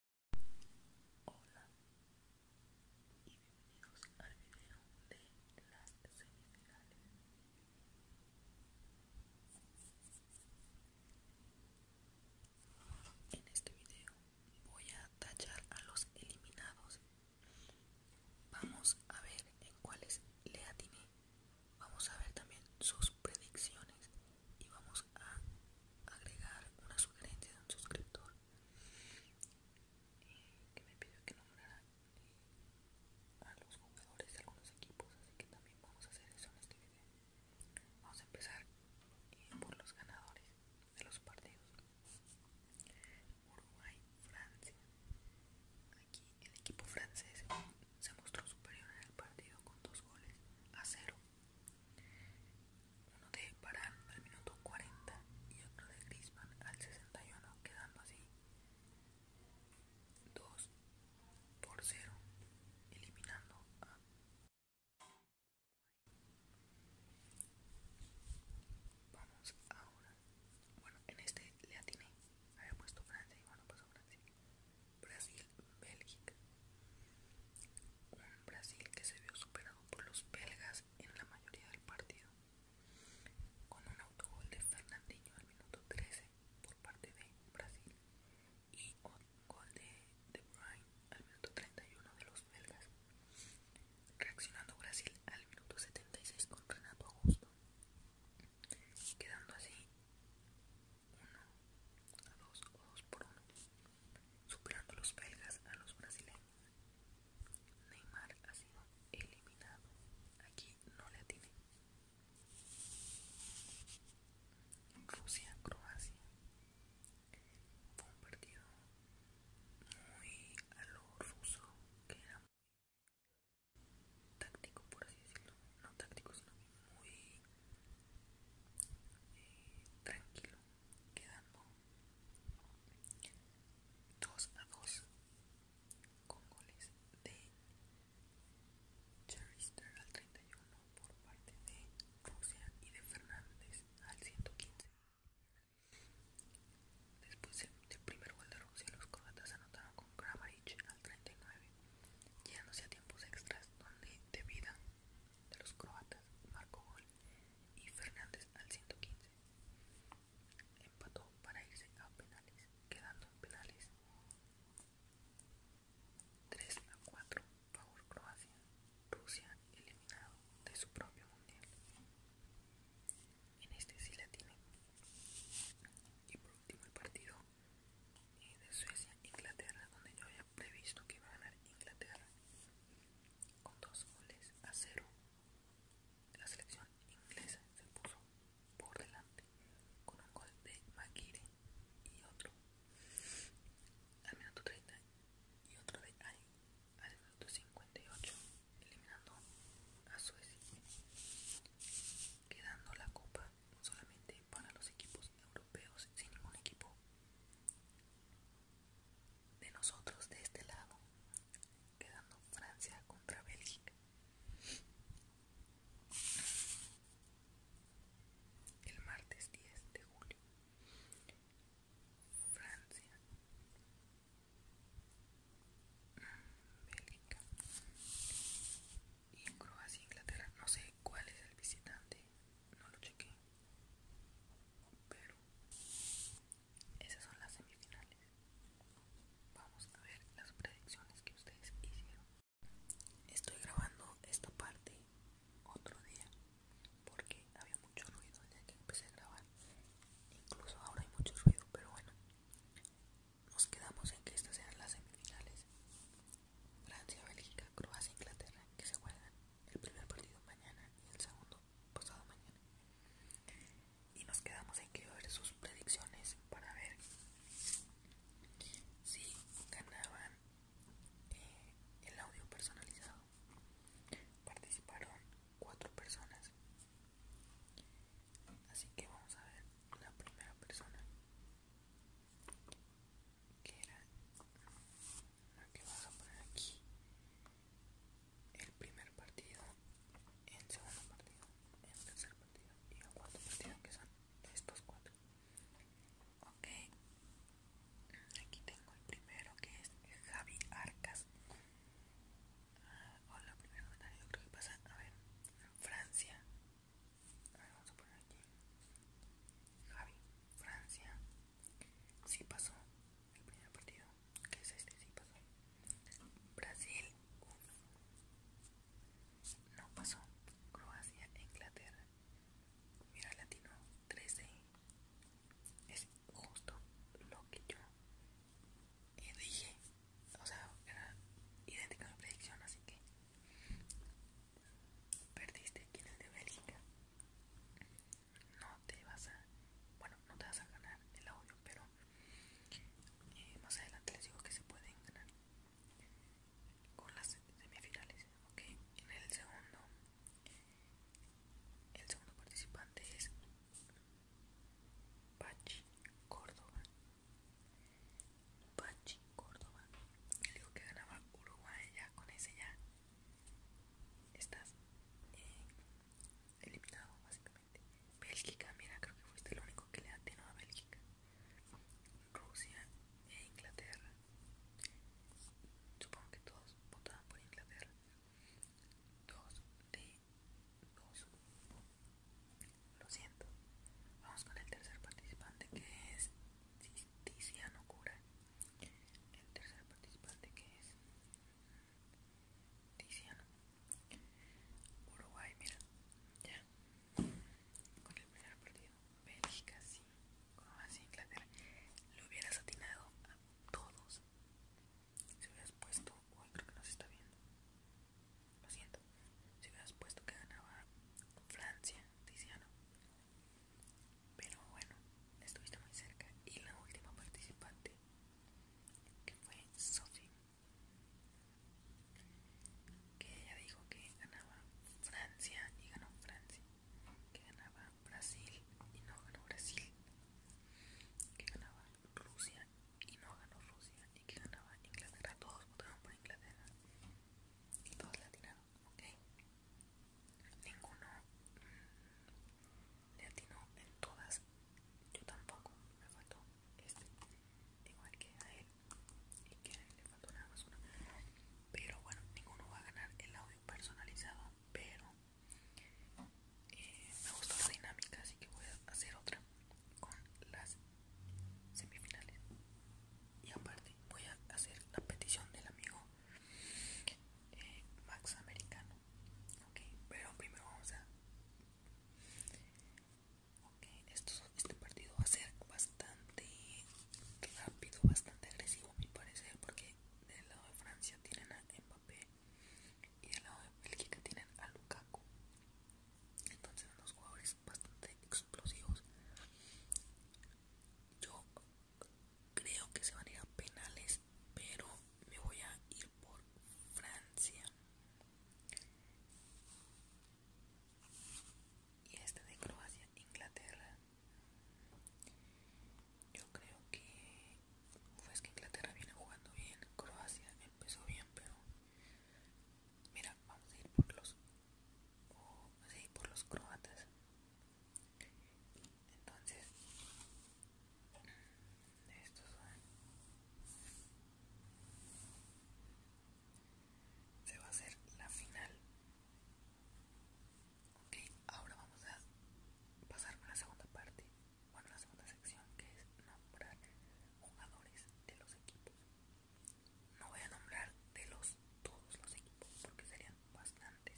Hola y bienvenidos al video de las semifinales. En este video voy a tachar a los eliminados. Vamos a ver en cuáles le atiné. Vamos a ver también sus predicciones y vamos a agregar una sugerencia de un suscriptor eh, que me pidió que nombrara eh, a los jugadores de algunos equipos así que también vamos a hacer eso en este video vamos a empezar eh, por los ganadores de los partidos Uruguay Francia aquí el equipo francés se mostró superior en el partido con dos goles a cero uno de parar al minuto 40 y otro de Crispan al 61, quedando así 2 por 0, eliminando a Vamos ahora. Bueno, en este le atiné. Había puesto Francia y bueno, pasó Francia. Brasil-Bélgica. Un Brasil que se vio superado por los belgas en la mayoría del partido, con un autogol de Fernandinho al minuto 13 por parte de Brasil y un gol de De Bruyne al minuto 31 de los belgas, reaccionando Brasil al minuto 76 con Renato Augusto, quedando así 1 a 2 o 2 por 1, superando a los belgas a los brasileños. Neymar ha sido eliminado. Aquí no le atiné. Rusia, Croacia. Fue un partido muy a lo ruso, que era muy táctico, por así decirlo no táctico, sino muy eh, tranquilo, quedando 2 a 2 con goles de Cherister al 31 por parte de Rusia y de Fernández al 115. Después del primer gol de Rusia, los croatas anotaron con Kravarich al 39 llegándose a tiempos extras donde de vida de los croatas marcó gol y Fernández al 115 empató para irse a penales quedando en penales 3 a 4 favor Croacia Rusia eliminado de su propio mundial en este sí la tiene y por último el partido y de Suecia, Inglaterra, donde yo había previsto que iba a ganar Inglaterra con dos goles a cero. La selección inglesa se puso por delante con un gol de Maguire y otro al minuto 30 y otro de Ay al minuto 58, eliminando a Suecia, quedando la copa solamente para los equipos europeos sin ningún equipo de nosotros de este lado quedando Francia contra Bélgica el martes 10 de julio Francia Bélgica y en Croacia, Inglaterra, no sé cuál es el visitante, no lo chequé, pero esas son las semifinales. Vamos a ver las predicciones que ustedes hicieron. Estoy grabando esta parte otro día porque había mucho ruido ya que empecé a grabar. Incluso ahora hay mucho ruido, pero bueno, nos quedamos en que estas sean las semifinales. Francia, Bélgica, Croacia Inglaterra que se juegan el primer partido mañana y el segundo pasado mañana. Y nos quedamos en que ver sus predicciones para ver si ganaban eh, el audio personalizado. Participaron cuatro personas. Así que vamos a ver la primera persona que era lo que a poner aquí el primer partido el segundo partido el tercer partido y el cuarto partido que son estos cuatro ok aquí tengo el primero que es Javi Arcas Hola, ah, hola primero yo creo que pasa a ver Francia a vamos a poner aquí Javi, Francia Sí pasó El primer partido Que es este, sí pasó Brasil 1 No pasó Croacia, Inglaterra Mira Latino 13 Es justo Lo que yo Dije O sea, era idéntica mi predicción Así que Perdiste quien es de Bélgica. No te vas a. Bueno, no te vas a ganar el audio, pero eh, más adelante les digo que se pueden ganar con las semifinales. Ok, en el segundo. El segundo participante es Pachi Córdoba. Pachi Córdoba. Le digo que ganaba Uruguay ya, con ese ya estás eh, eliminado básicamente. Bélgica, mira, creo que fuiste el único que le atinó a Bélgica. Rusia e Inglaterra. Supongo que todos votaban por Inglaterra. Dos de dos. Lo siento. Vamos con el tercer participante que es Tiziano Cura. El tercer participante que es Tiziano. Uruguay, mira. Ya. Con el primer partido. Bélgica, sí. Croacia, Inglaterra. Lo hubieras atinado a todos. Si hubieras puesto. Uy, creo que no se está viendo. Lo siento. Si hubieras puesto que ganaba Francia, Tiziano. Pero bueno, estuviste muy cerca. Y la última participante, que fue Sophie, que ella dijo que ganaba Francia y ganó Francia. Que ganaba Brasil y no ganó Brasil. Que ganaba Rusia y no ganó Rusia y que ganaba Inglaterra, todos votaron por Inglaterra y todos le atinaron, ok. Ninguno mm, le atinó en todas, yo tampoco, me faltó este, igual que a él y que a él le faltó nada más una. Pero bueno, ninguno va a ganar el audio personalizado, pero eh, me gustó la dinámica, así que voy a hacer otra con las semifinales y aparte voy a hacer la petición del amigo eh, Max Americano ok pero primero vamos a ok este partido va a ser bastante rápido bastante agresivo a mi parecer porque del lado de Francia tienen a Mbappé y al lado de Bélgica tienen a Lukaku entonces unos jugadores bastante explosivos yo creo que se van a ir a penales pero me voy a ir por Francia y este de Croacia Inglaterra yo creo que pues que Inglaterra viene jugando bien Croacia empezó bien, pero mira, vamos a ir por los por los croatas. Entonces, estos van. Se va a hacer la final. Ok, ahora vamos a pasar a la segunda parte bueno, la segunda sección que es nombrar jugadores de los equipos. No voy a nombrar de los todos los equipos porque serían bastantes,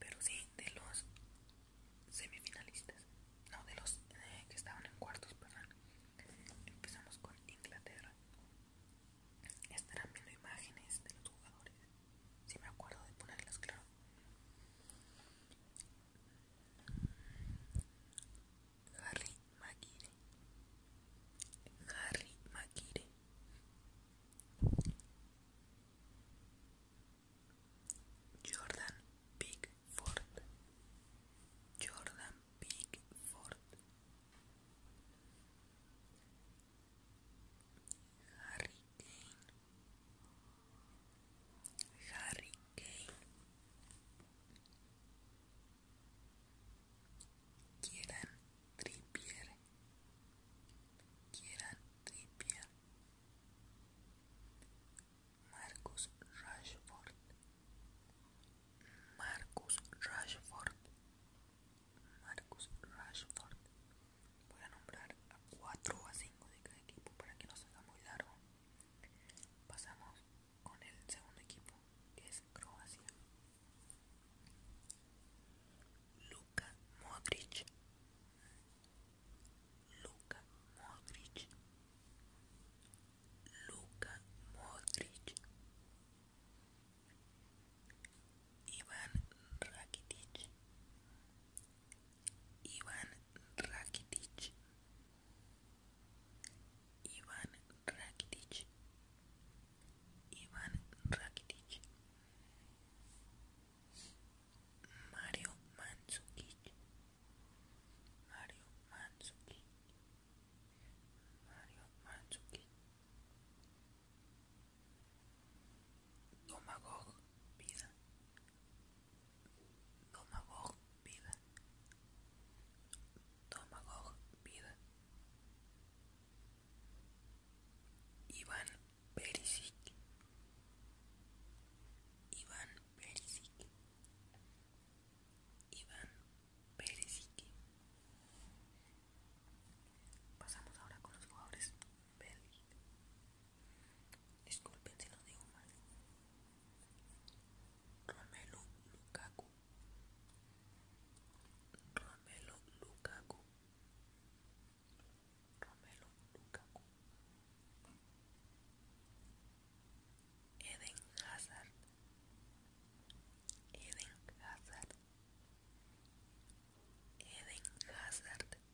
pero sí de los semifinalistas, no de los eh, que estaban en cuartos, perdón. Empezamos con Inglaterra. Estarán viendo imágenes de los jugadores. Si me acuerdo de ponerlas, claro. Harry Maguire Harry Maguire Jordan Pickford Jordan Pickford Harry Kane Harry Kane, Kieran Trippier, Kieran Trippier, Marcus Rashford, Marcus Rashford, Marcus Rashford. voy a nombrar a 4 o a 5 de cada equipo para que no sea muy largo. Pasamos con el segundo equipo, que es Croacia. Luka Modric. Luka Modric. Luka Modric. Ivan Rakitic. Ivan Rakitic Ivan Rakitic Ivan Rakitic Mario Mandzukic Mario Mandzukic Mario Mandzukic Comagog Vida Tomagog Vida Tomagog Vida Iván Perisic Iván Perisic Iván Perisic Pasamos ahora con los jugadores Disculpen si no digo mal. Romelu Lukaku. Romelu Lukaku. Romelu Lukaku. Eden Hazard. Eden Hazard. Eden Hazard.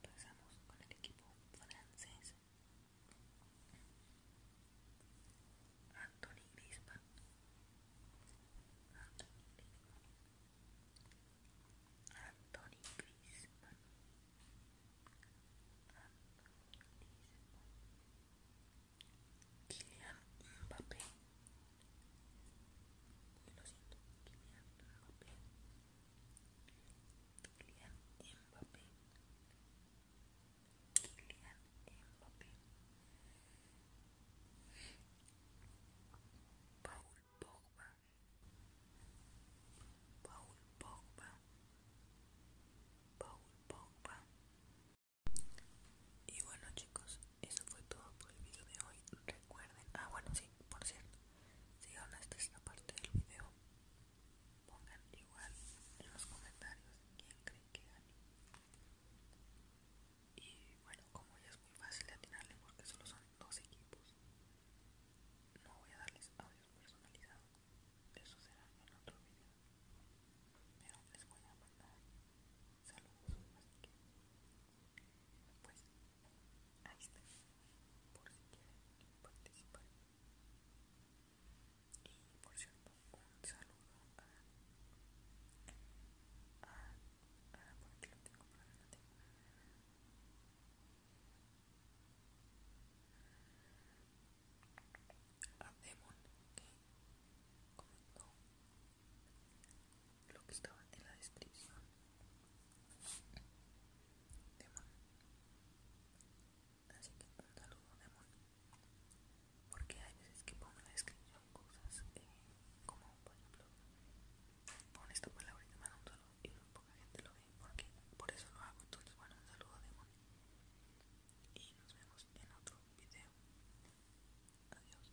Pasamos con el equipo francés. Anthony Griezmann. Anthony Griezmann. Anthony Griezmann. Kylian Mbappé. Lo siento, Kylian Mbappé. Kylian Mbappé Kylian Mbappé Paul Pogba Paul Pogba Paul Pogba y bueno chicos, eso fue todo por el video de hoy. Recuerden, ah bueno sí, por cierto, Sigan hasta esta parte del video. Pongan igual en los comentarios quién creen que gane. Y bueno, como ya es muy fácil de atinarle porque solo son dos equipos, no voy a darles audio personalizados. Eso será en otro video. Pero les voy a mandar saludos. pues. Ahí está, por si quieren participar. Y por cierto, un saludo a. a. a por aquí lo tengo para adelante. A Demon que comentó lo que estaba en la descripción Moni. así que un saludo Moni. porque hay veces que pongo en la descripción cosas eh, como por ejemplo pon esta palabra y te mando y muy poca gente lo ve porque por eso lo hago entonces bueno un saludo Moni. y nos vemos en otro video adiós